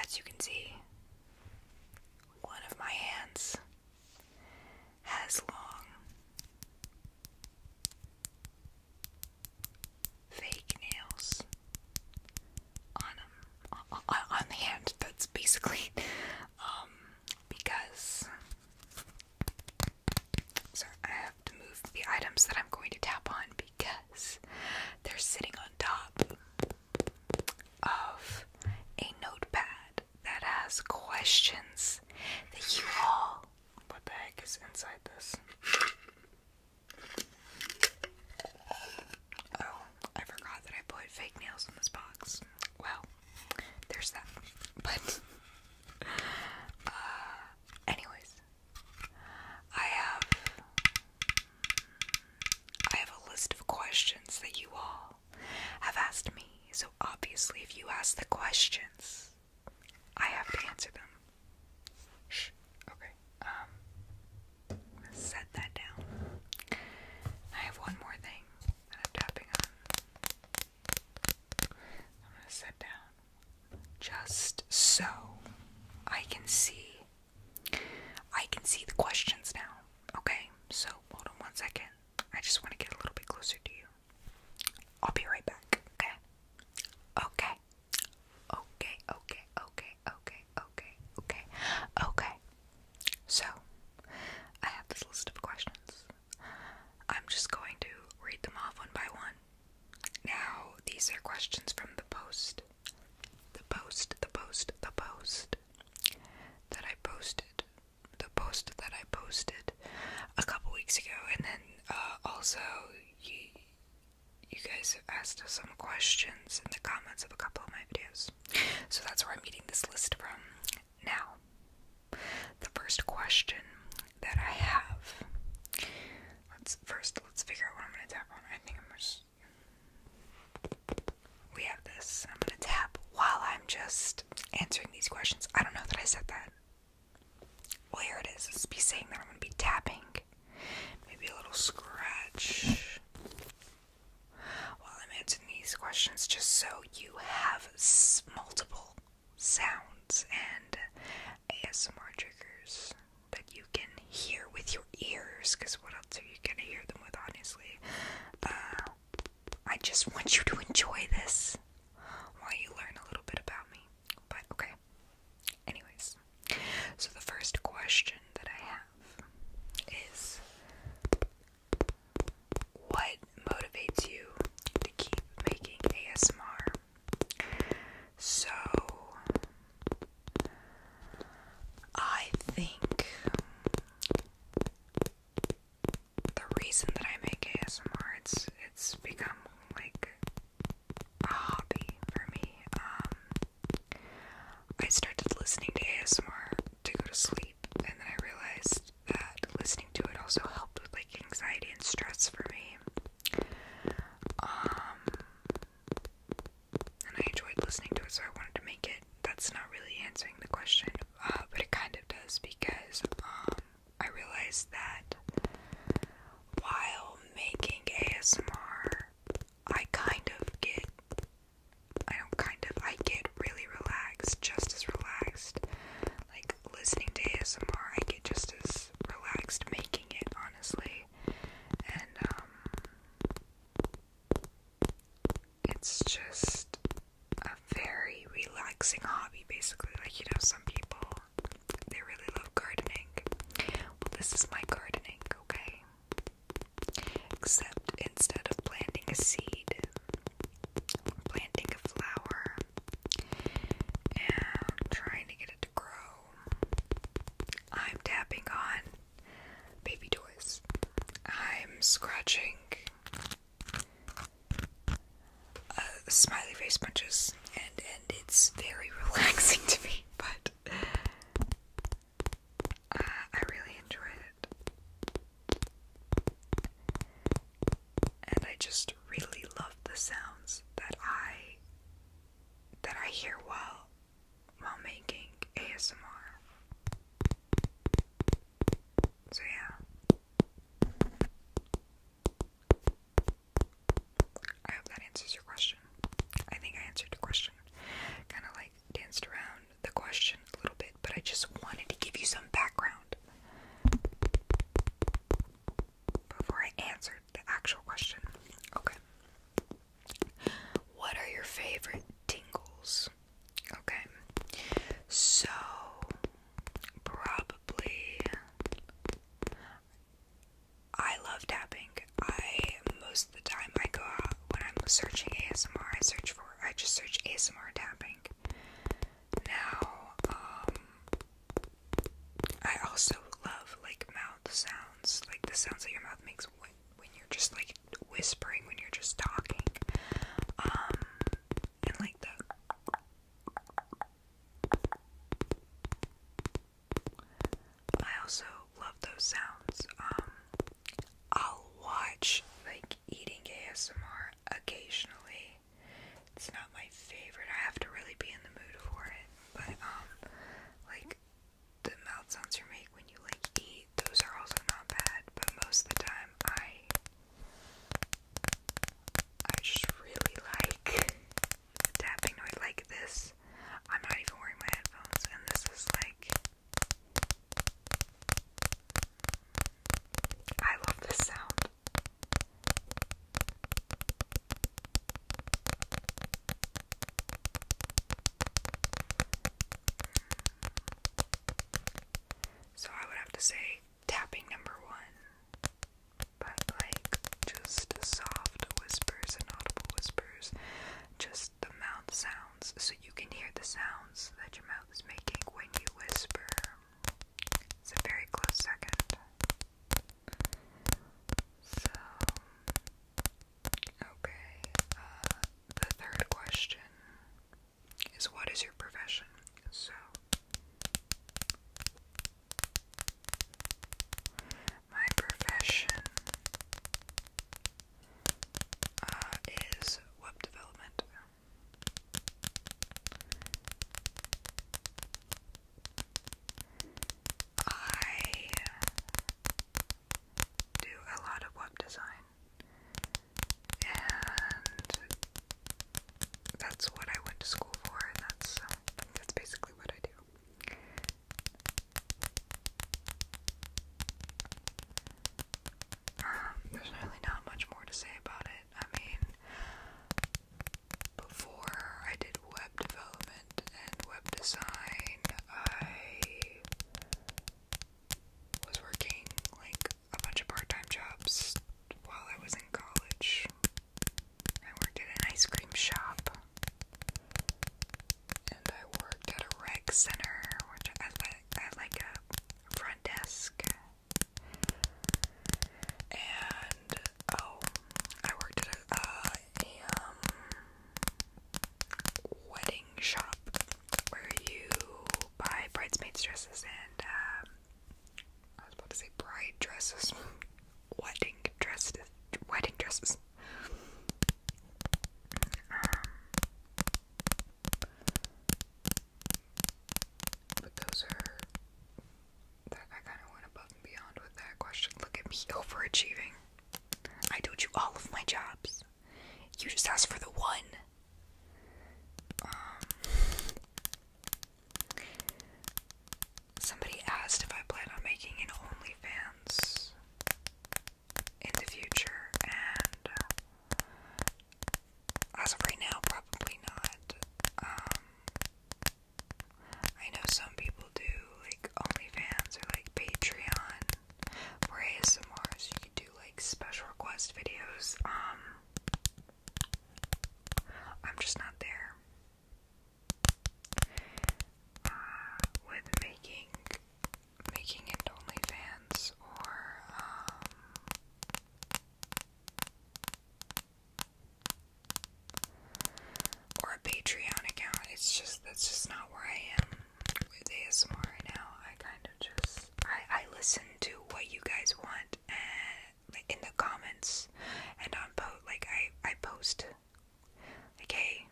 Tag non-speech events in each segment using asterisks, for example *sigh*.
As you can see, one of my hands has long fake nails on them, on, the hand. That's basically um, because sorry, I have to move the items that I'm going to tap on because they're sitting on top of a notepad that has questions that you all. What the heck is inside this? Oh, I forgot that I put fake nails in this box. Well, there's that. But, *laughs* uh, anyways, I have I have a list of questions that you all have asked me, so obviously, if you ask the questions, I have to answer them. Shh, okay. Um, set that down. I have one more thing that I'm tapping on. I'm gonna set down just so I can see I can see the questions now. Okay, so hold on one second. I just want to get a little bit closer to you. I'll be right back. Okay. Okay. Okay, okay, okay, okay, okay, okay, okay. So, I have this list of questions. I'm just going to read them off one by one. Now, these are questions from the post. The post, the post, the post that I posted, the post that I posted a couple weeks ago, and then uh, also you, you guys have asked us some questions in the comments of a couple of my videos. So that's where I'm getting this list from. Now, the first question that I have. Let's first let's figure out what I'm gonna tap on. I think I'm just we have this. I'm gonna tap while I'm just answering these questions. I don't know that I said that. Well, here it is. It's be saying that I'm gonna be tapping. Maybe a little scratch while I'm answering these questions, just so you have multiple sounds and ASMR triggers that you can hear with your ears, because what else are you gonna hear them with, honestly? Uh, I just want you to enjoy this while you learn a little bit about me. But okay. Anyways, so the first question that I have is what motivates you to keep making ASMR? So I think the reason that I make ASMR it's it's become like a hobby for me. Um, I started listening to ASMR to go to sleep and then I realized that listening to it also helped with like anxiety and stress for me. Um, and I enjoyed listening to it, so I wanted to make it. That's not really answering the question, uh, but it kind of does because um, I realized that while making ASMR, I kind of get, I don't kind of, I get really relaxed, just as relaxed. Like listening to ASMR, I get just as relaxed making it, honestly. And, um, it's just a very relaxing hobby, basically. Like, you know, some people, they really love gardening. Well, this is my gardening, okay? Except instead of planting a seed, planting a flower and trying to get it to grow. I'm tapping on baby toys. I'm scratching uh, smiley face punches, and and it's very *laughs* relaxing to me. But uh, I really enjoyed it, and I just really love the sounds that I that I hear while while making ASMR. So, yeah. I hope that answers your question. I think I answered the question. Kind of like danced around the question a little bit, but I just wanted to give you some background before I answered the actual question. Okay. What are your favorite tingles? Okay, so probably I love tapping. I most of the time I go out when I'm searching ASMR. I search for I just search ASMR tapping. Now, um, I also love like mouth sounds, like the sounds that your mouth makes when you're just like whispering, when you're just talking. Um, and like the. I also love those sounds. Um, I'll watch like eating ASMR occasionally. It's not my favorite. I have to really be in the mood for it. But um, like the mouth sounds you make when you like eat, those are also not bad, but most of the time I I just really like tapping noise like this. I'm not even wearing my headphones and this is like I love this sound. So I would have to say tapping number one. But like just soft whispers and audible whispers, just the mouth sounds, so you can hear the sounds that your mouth is making when you whisper. very close second. So Okay, uh, the third question is what is your profession? So, my profession uh, is web development. I do a lot of web design, and that's what I went to school for, and that's um, that's basically what I do. Um, there's really not much more to say about it. I mean, before I did web development and web design I was working like a bunch of part time jobs while I was in college. I worked at an ice cream shop. And I worked at a rec center, which I at like a front desk. And oh, I worked at a uh, a um, wedding shop where you buy bridesmaids dresses and um, I was about to say bride dresses, *laughs* wedding dresses, wedding um, dresses. but those are. That I kind of went above and beyond with that question. Look at me *laughs* overachieving. I told you all of my jobs. You just asked for the one. Um, somebody asked if I plan on making an OnlyFans in the future, and uh, as of right now, probably not. Um, I know some people do like OnlyFans or like Patreon for ASMR, so you can do like special request videos. Um, I'm just not there uh, with making making it OnlyFans or um or a Patreon account. It's just that's just not where I am with ASMR right now. I kind of just I, I listen to what you guys want and eh, in the comments and on post like I I post like hey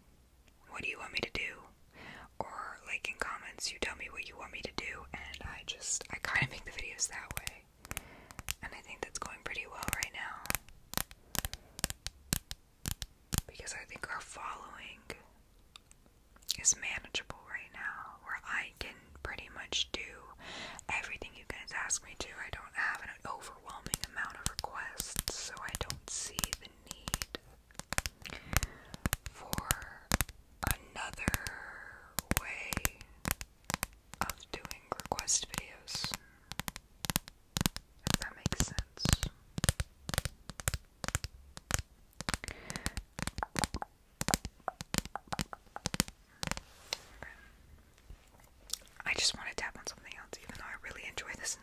what do you want me to do or like in comments you tell me what you want me to do and I just I kind of make the videos that way and I think that's going pretty well right now because I think our following is manageable right now, where I can pretty much do everything you guys ask me to. I don't have an overwhelming amount of requests, so I don't see the need for another way of doing request videos if that makes sense. I just want to tap on something else, even though I really enjoy this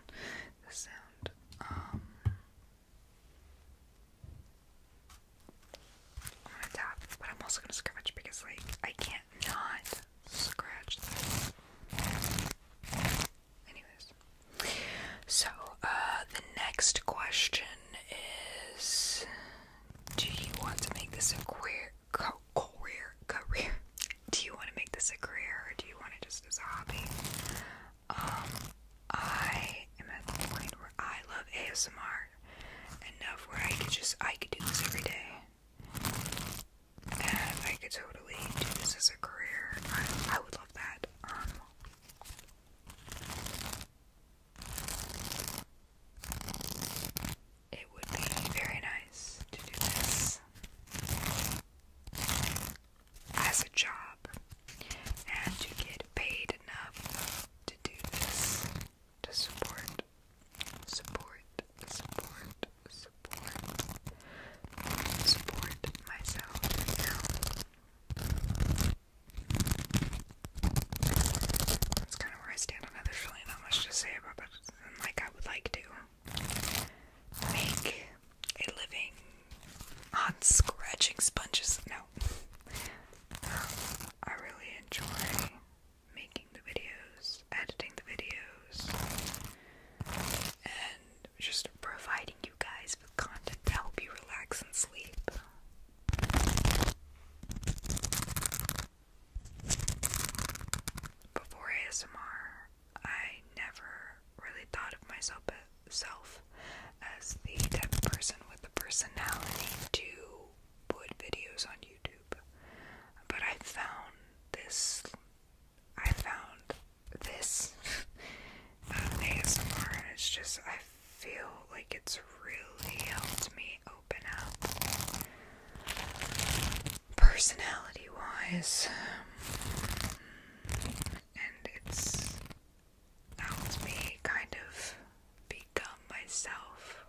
this sound. I'm gonna tap, but I'm also gonna scratch because, like, I can't not scratch that. Anyways. So, uh, the next question is Do you want to make this a career? Career? *laughs* Career? Do you want to make this a career or do you want it just as a hobby? Um, I am at the point where I love ASMR enough where I could just, I could do this every day. And I could totally do this as a career. I, I would love that. Um, it would be very nice to do this as a job and to get paid enough to do this to support, support, support support support myself now. That's kind of where I stand on it. There's really not much to say about it, like I would like to make a living on scratching sponges. No, I really enjoy making the videos, editing the videos, and just providing you guys with content to help you relax and sleep. Before ASMR, I never really thought of myself as the type person with the personality to put videos on YouTube. But I found this I found this um, *laughs* and it's just I feel like it's really helped me open up personality-wise, and it's helped me kind of become myself.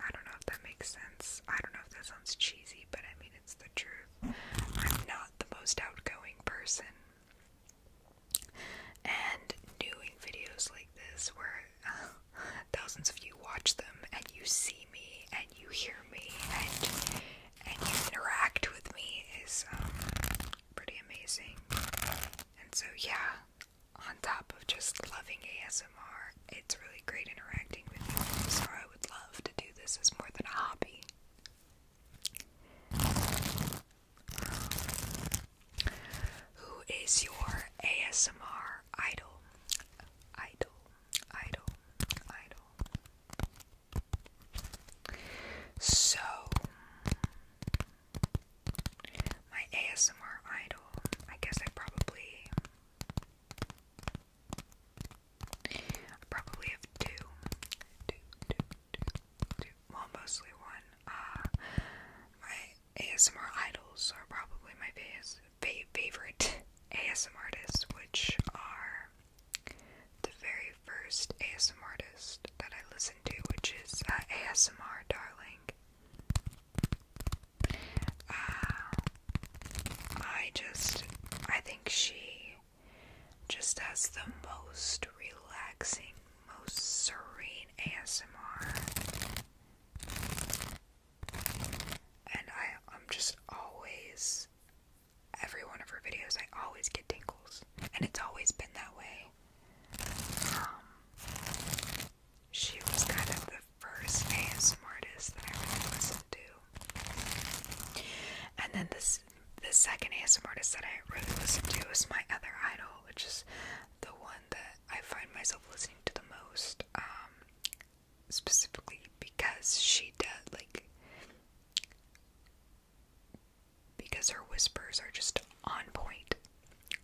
I don't know if that makes sense. I don't know if that sounds cheesy, but I mean it's the truth. I'm not the most outgoing person. And doing videos like this, where uh, thousands of you watch them, and you see me, and you hear me, and and you interact with me, is um, pretty amazing. And so, yeah, on top of just loving ASMR, it's really great interacting with you would love to do this as more than a hobby. Who is your ASMR idol? Idol, idol, idol. So, my ASMR idol, I guess I probably probably have two. Two, Well, mostly one. Uh, my ASMR idols are probably my fa favorite ASMR *laughs* artists, which are the very first ASMR artist that I listened to, which is uh, ASMR Darling. Uh, I just, I think she just has the most relaxing, most serene ASMR. And I, I'm just always, every one of her videos, I always get tingles. And it's always been that way. Um, she was kind of the first ASM artist that I really listened do. And then this the second ASMR artist that I really listen to is my other idol, which is the one that I find myself listening to the most. Um, specifically because she does like because her whispers are just on point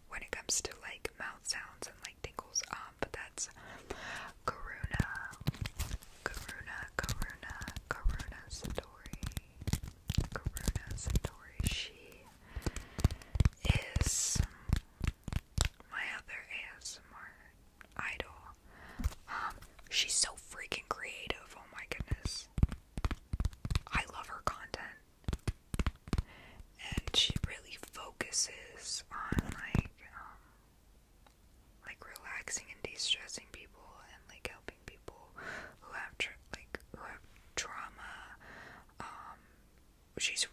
when it comes to like mouth sounds and like tinkles. Um, but that's Karuna, Karuna, Karuna, Karuna Satori, Karuna Satori. She is my other ASMR idol. Um, she's so freaking creative. Oh my goodness, I love her content. And she really focuses on like um, like relaxing and de-stressing people and like helping people who have like who have trauma. Um, she's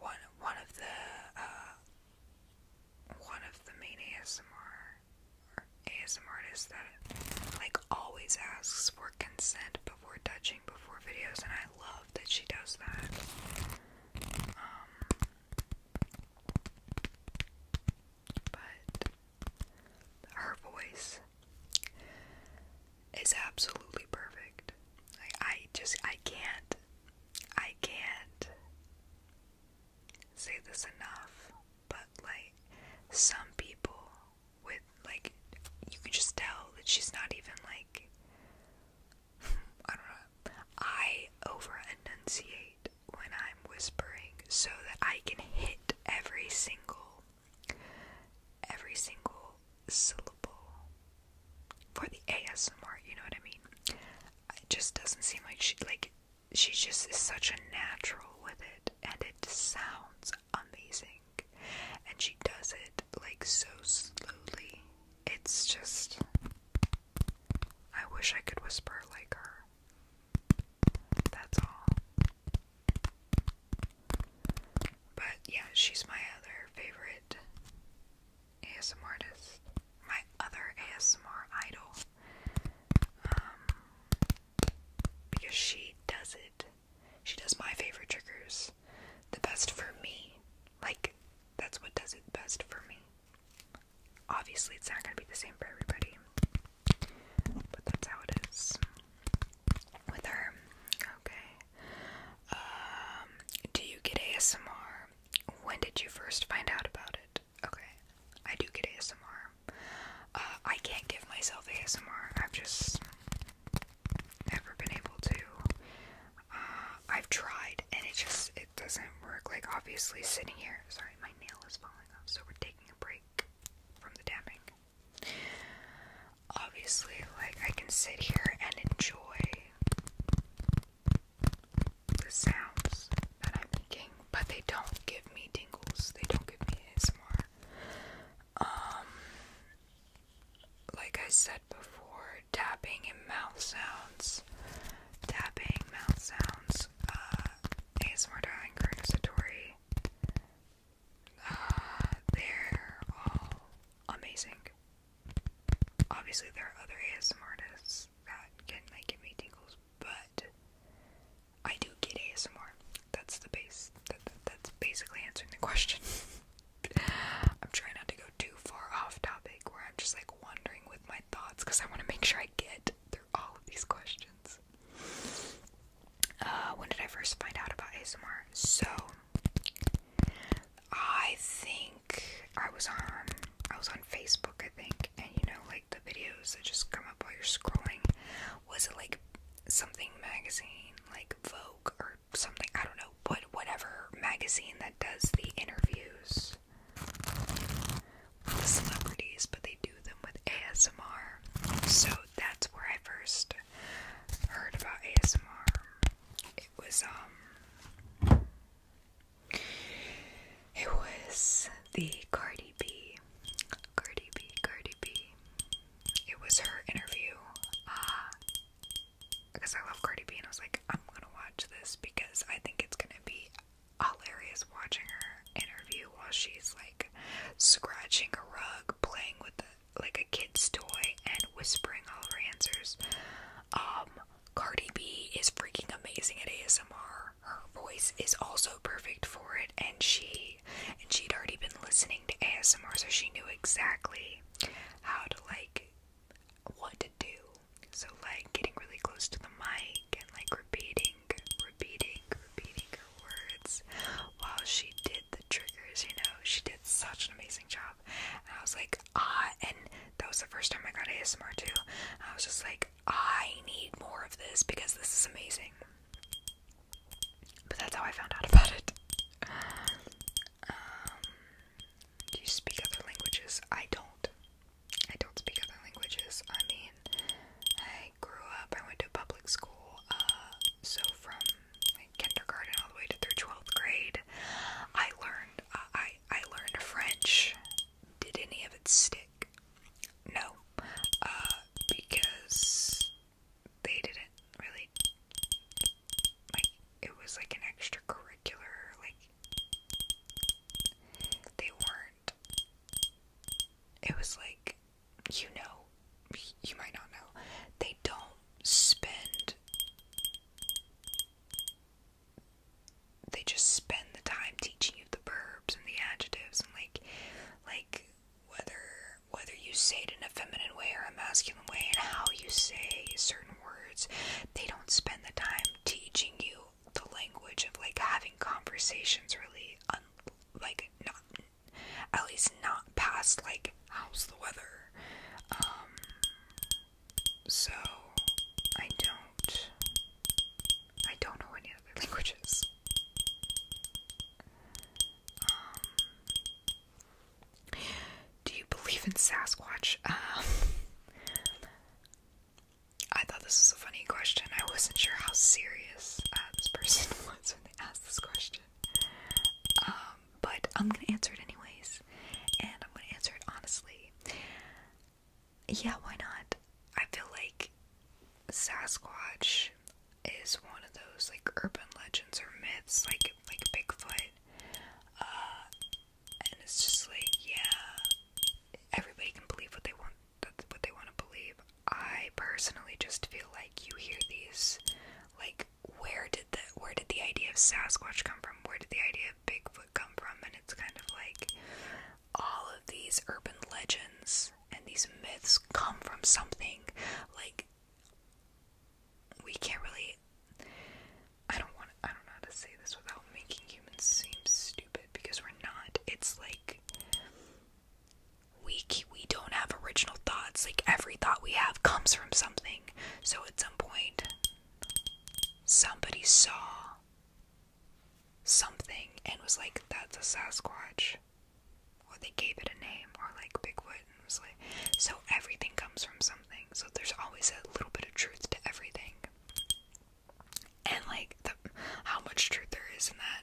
one one of the uh, one of the main ASMR or ASM artists that like always asks for consent before touching before videos, and I love that she does that. Um, but her voice is absolutely perfect. I just I can't I can't say this enough, but like some people with like you can just tell that she's not even like *laughs* I over enunciate when I'm whispering so that I can hit every single every single syllable for the ASMR, you know what I mean? It just doesn't seem like she like she just is such a natural with it and it sounds amazing. And she does it like so slowly. It's just I wish I could whisper like her. That's all. But yeah, she's my other favorite ASM artist. My other ASMR idol. Um, because she does it. She does my favorite triggers the best for me. Like, that's what does it best for me. Obviously, it's not going to be the same for everybody, but that's how it is with her. Okay. Um, do you get ASMR? When did you first find out about it? Okay, I do get ASMR. Uh, I can't give myself ASMR. I've just never been able to. I've tried and it just it doesn't work. Like obviously sitting here, sorry, my nail is falling off, so we're taking a break from the tapping. Obviously, like I can sit here and enjoy the sounds that I'm making, but they don't give me tingles. They don't give me ASMR. Um, like I said before, tapping and mouth sounds. Tapping, mouth sounds, uh, ASMR Darling Satori. Uh, they're all amazing. Obviously, there are other ASMR artists that can like me tingles, but I do get ASMR. That's the base. that's basically answering the question. *laughs* I'm trying not to go too far off topic where I'm just like wandering with my thoughts because I want to make sure I get through all of these questions. Uh, when did I first find out about ASMR? So I think I was on I was on Facebook, I think, and you know, like the videos that just come up while you're scrolling. Was it like something magazine, like Vogue or something? I don't know, but whatever magazine that does the interviews with celebrities, but they do them with ASMR. So that's where I first heard about ASMR. It was um it was the Cardi B. Cardi B, Cardi B. It was her interview. Uh, because I love Cardi B and I was like, I'm gonna watch this because I think it's gonna be hilarious watching her interview while she's like scratching a rug, playing with like a kid's toy, and whispering all her answers. Um, Cardi B is freaking amazing at ASMR. Her voice is also perfect for it, and she and she'd already been listening to ASMR, so she knew exactly how to like what to do so, like getting really close to the mic and like repeating, repeating, repeating her words while she did the triggers, you know, she did such an amazing job. And I was like, ah, and that was the first time I got ASMR too. I was just like, I need more of this because this is amazing. But that's how I found out about it. Um, do you speak other languages? I don't. I don't speak other languages. I mean, I grew up, I went to public school, uh, so from kindergarten all the way to through 12th grade, I learned, uh, I, I learned French. Did any of it stick? No, uh, because they didn't really, like, it was like an extracurricular, like, they weren't. It was like, you know, you might not know. They don't spend. They just spend the time teaching you the verbs and the adjectives and like, like whether whether you say it in a feminine way or a masculine way and how you say certain words, they don't spend the time teaching you the language of like having conversations really un like not at least not past like how's the weather um, so I don't I don't know any other *laughs* languages um, do you believe in Sasquatch *laughs* um, I thought this was a funny question. I wasn't sure how serious uh, this person *laughs* was when they asked this question. Um, but I'm gonna answer it anyways, and I'm gonna answer it honestly. Yeah, why not? I feel like Sasquatch is one of those like urban legends or myths, like like Bigfoot. Uh, and it's just like, yeah, everybody can believe what they want. That's what they want to believe. I personally just feel like you hear these, like, where did the where did the idea of Sasquatch come from? Where did the idea of Bigfoot come from? And it's kind of like all of these urban legends and these myths come from something like we can't really I don't want I don't know how to say this without making humans seem stupid because we're not. It's like we we don't have original thoughts. Like every thought we have comes from something. So at some point somebody saw something and was like that's a Sasquatch. Or they gave it a name or like Bigfoot and was like so everything comes from something. So there's always a little bit of truth to everything and like the, how much truth there is in that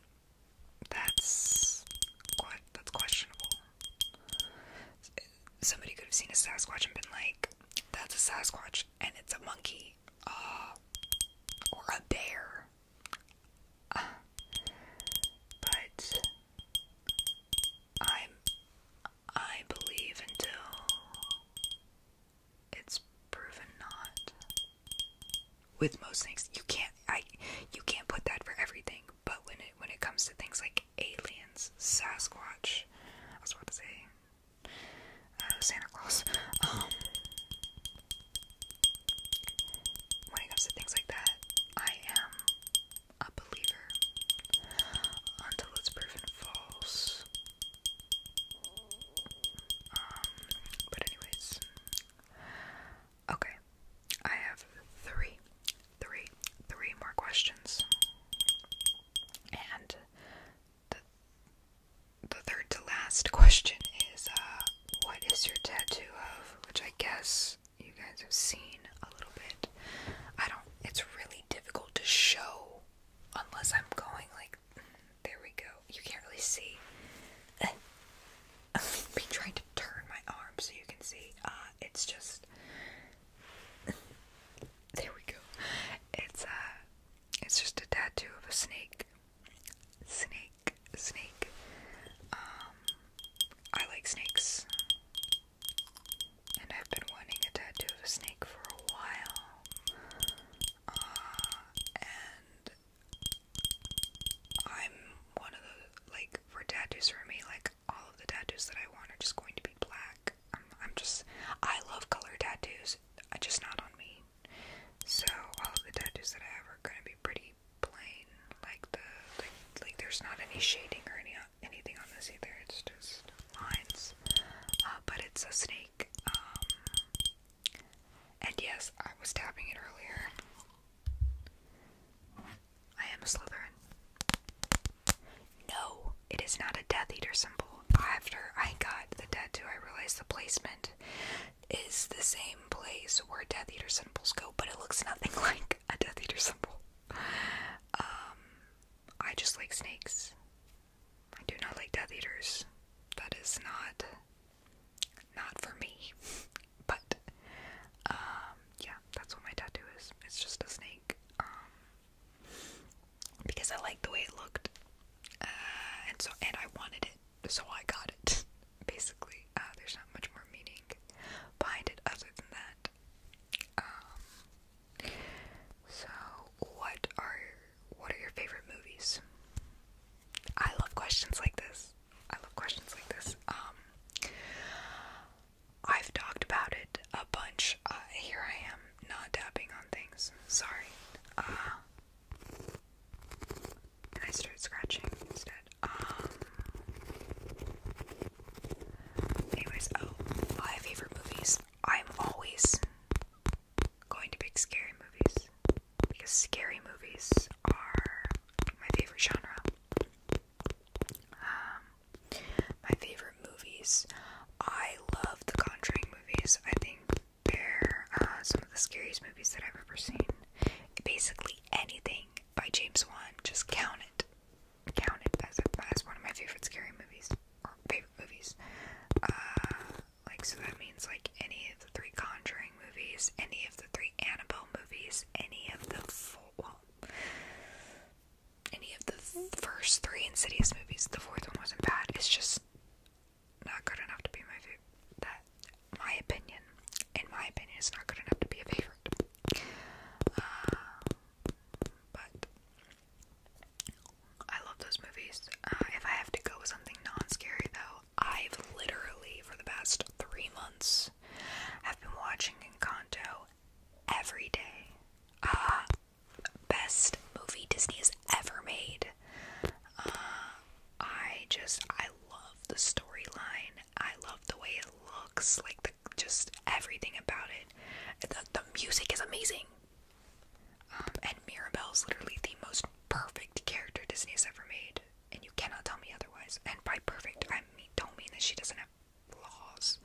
that's that's questionable somebody could have seen a sasquatch and been like that's a sasquatch and it's a monkey uh, or a bear uh, but i'm I believe until it's proven not. With most things, you can't I you can't put that for everything, but when it when it comes to things like aliens, Sasquatch, I was about to say uh, Santa Claus. Um, when it comes to things like that, I am a believer until it's proven false. Um, but anyways. Okay. I have three, three, three more questions. And the the third to last *laughs* question is uh, what is your tattoo of? Which I guess you guys have seen a little bit. I don't it's really difficult to show unless I'm going like there we go. You can't really see. *laughs* i trying to turn my arm so you can see. Uh, it's just *laughs* there we go. It's uh, it's just a tattoo of a snake. Snake, snake. Um, I like snakes and I've been wanting a tattoo of a snake for a while. Uh, and I'm one of the like for tattoos for me, like all of the tattoos that I want are just going to be black. I'm, I'm just I love color tattoos, uh, just not on me. So all the tattoos that I have are gonna be pretty plain, like the like like there's not any shading or any anything on this either, it's just lines. Uh, but it's a snake. Um, and yes, I was tapping it earlier. I am a Slytherin. No, it is not a Death Eater symbol. After I got the tattoo, I realized the placement is the same place where Death Eater symbols go, but it looks nothing *laughs* like a Death Eater symbol. Um, I just like snakes. I do not like Death Eaters. That is not not for me. *laughs* but um yeah, that's what my tattoo is. It's just a snake. Um because I like the way it looked. Uh and so and I wanted it, so I got it. *laughs* Basically. Uh there's not much more meaning behind it other than that. Um so, what are what are your favorite movies? I love questions like this. I love questions like this. Um, I've talked about it a bunch. Uh, here I am, not tapping on things. Sorry. Uh, and I started scratching instead. Um. Anyways, oh, my favorite movies. I'm always going to pick scary movies because scary movies are my favorite genre. Um, my favorite movies. I love the Conjuring movies. I think they're uh, some of the scariest movies that I've ever seen. Basically, anything by James Wan, just count it counted as as one of my favorite scary movies or favorite movies. Uh, like so that means like any of the three Conjuring movies, any of the three Annabelle movies, any of the four, well, any of the first three Insidious movies. The fourth one wasn't bad. It's just not good enough to be my favorite. That my opinion, in my opinion, is not good enough to be a favorite. Um, but I love those movies. Uh, if I have to go with something non-scary though, I've literally for the past three months have been watching Encanto every day. Ah, best movie Disney has ever made. Uh, I just I love the storyline. I love the way it looks, like the just everything about it. The, the music is amazing. Um, and Mirabelle is literally the most perfect character Disney has ever made, and you cannot tell me otherwise. And by perfect, I mean, don't mean that she doesn't have flaws.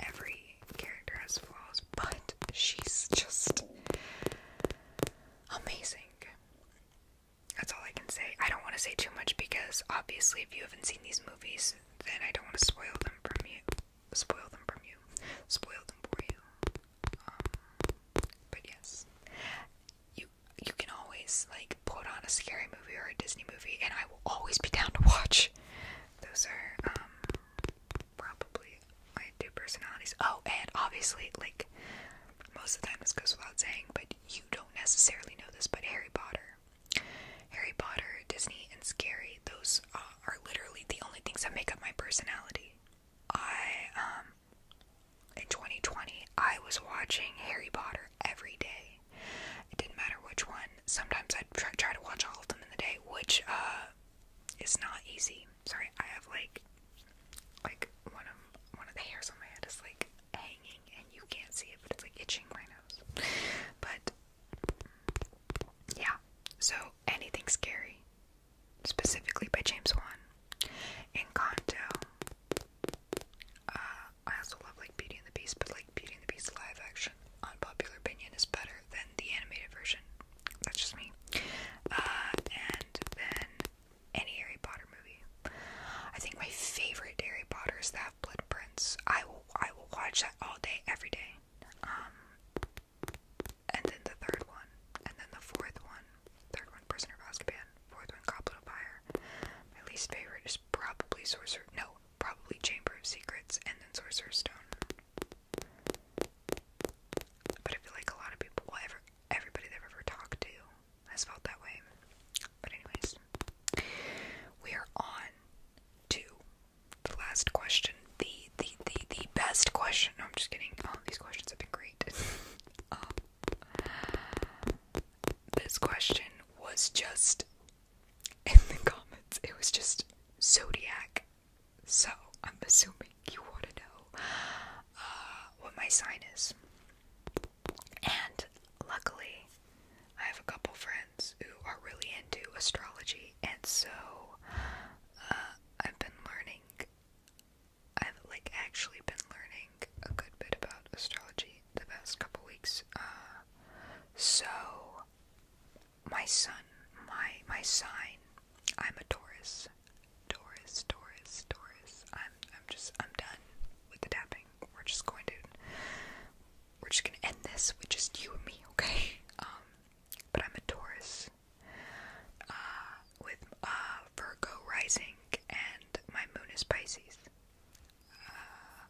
every character has flaws, but she's just amazing. That's all I can say. I don't want to say too much because obviously, if you haven't seen these movies, then I don't want to spoil them from you spoil them from you, spoil them for you. Um, but yes, you you can always like put on a scary movie or a Disney movie, and I will always be down to watch. Those are um, probably my two personalities. Oh, and obviously, like most of the time, this goes without saying, but you don't necessarily know this, but Harry Potter Harry Potter, Disney, and Scary, those uh, are literally the only things that make up my personality. I, um, in 2020, I was watching Harry Potter every day. It didn't matter which one. Sometimes i try, to watch all of them in the day, which, uh, is not easy. Sorry, I have, like, like, one of, one of the hairs on my head is, like, hanging, and you can't see it, but it's, like, itching my nose. But, yeah, so anything scary, specifically by James Wan. Encanto. Uh, I also love like Beauty and the Beast, but like Beauty and the Beast live action, unpopular opinion, is better than the animated version. That's just me. Uh, and then any Harry Potter movie. I think my favorite Harry Potter is that Blood Prince. I will I will watch that all day, every day um, and then the third one, and then the fourth one, third one, Prisoner of Azkaban, fourth one, Goblet My least favorite is probably Sorcerer, no, probably Chamber of Secrets, and then Sorcerer's Stone. But I feel like a lot of people, ever, everybody I've ever talked to has felt that way. But anyways, we are on to the last question, the the the the best question. No, I'm just kidding. All oh, these questions have been great. *laughs* Um, this question was just in the comments. It was just zodiac. So I'm assuming you want to know uh, what my sign is, and luckily I have a couple friends who are really into astrology, and so uh, I've been learning. I've like actually been learning a good bit about astrology the past couple weeks. Uh, so my son, my my sign, I'm a Taurus. Taurus, Taurus, Taurus. I'm I'm just I'm done with the tapping. We're just going to we're just gonna end this with just you and me, okay? *laughs* Um, but I'm a Taurus uh, with uh, Virgo rising, and my moon is Pisces. Uh,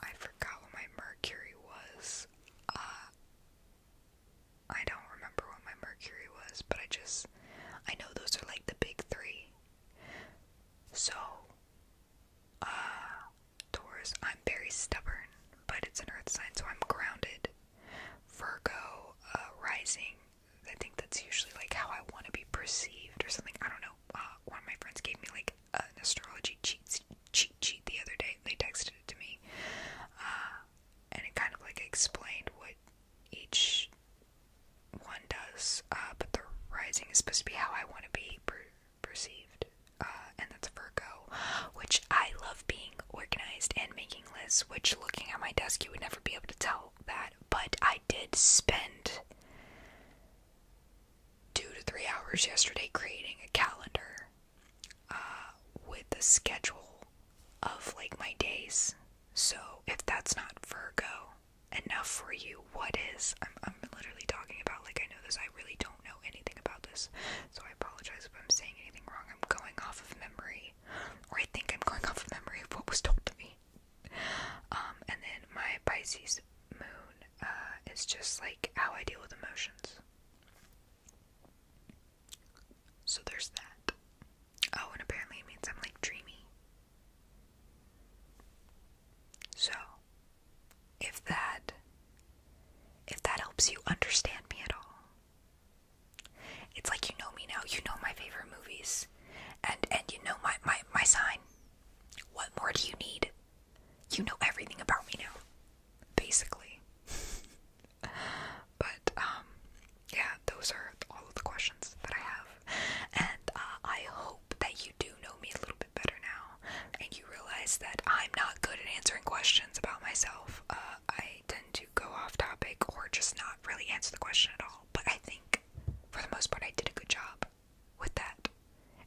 I forgot what my Mercury was. Uh, I don't remember what my Mercury was, but I just I know those are like the big three. So, Taurus, I'm very stubborn, but it's an earth sign, so I'm grounded. Virgo, uh, rising, I think that's usually like how I want to be perceived or something. I don't know. Uh, one of my friends gave me like an astrology cheat, cheat sheet the other day. They texted it to me. Uh, and it kind of like explained what each one does. but the rising is supposed to be how I want to be perceived. Uh, and that's Virgo, which I love being organized and making lists, which looking at my desk, you would never be able to tell that. But I did spend two to three hours yesterday creating a calendar uh, with the schedule of like my days. So if that's not Virgo enough for you, what is? I'm, I'm literally talking about like I know this, I really don't know anything about this, so I apologize if I'm saying anything wrong. I'm going off of memory, or I think I'm going off of memory of what was told to me. Um, and then my Pisces moon uh, is just like how I deal with emotions. So there's that. Oh, and apparently it means I'm like dreamy. So if that if that helps you understand me at all. It's like you know me now, you know my favorite movies and and you know my my, my sign. What more do you need? You know everything about me now, basically. *laughs* but um yeah, those are all of the questions that I have. And uh, I hope that you do know me a little bit better now and you realize that I'm not good at answering questions about myself. Uh, I tend to go off topic or just not really answer the question at all. But I think for the most part, I did a good job with that,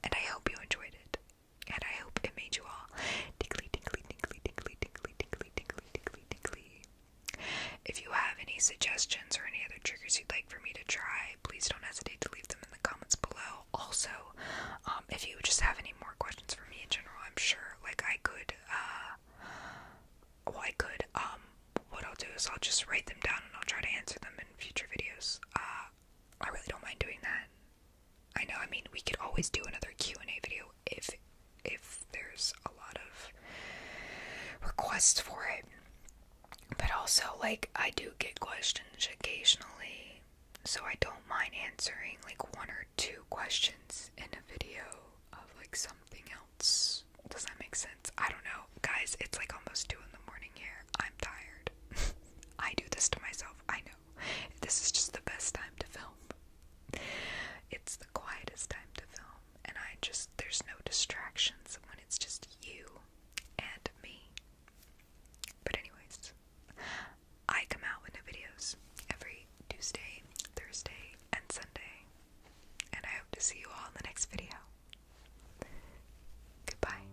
and I hope you enjoyed it. And I hope it made you all tickly, tickly, tickly, tickly, tickly, tickly, tickly, tickly, tickly. If you have any suggestions or any other triggers you'd like for me to try, please don't hesitate to leave them in the comments below. Also, um, if you just have any more questions for me in general, I'm sure like I could, uh, well, I could, um, what I'll do is I'll just write them down and I'll try to answer them in future videos. Uh, I really don't mind doing that. I know, I mean, we could always do another Q&A video if, if there's a lot of requests for it. But also, like, I do get questions occasionally so I don't mind answering like one or two questions in a video of like something else. Does that make sense? I don't know. Guys, it's like almost 2 in the morning here. I'm tired. *laughs* I do this to myself. I know. This is just the best time to film. It's the quietest time to film, and I just, there's no distractions when it's just you and me. But, anyways, I come out with new videos every Tuesday, Thursday, and Sunday. And I hope to see you all in the next video. Goodbye.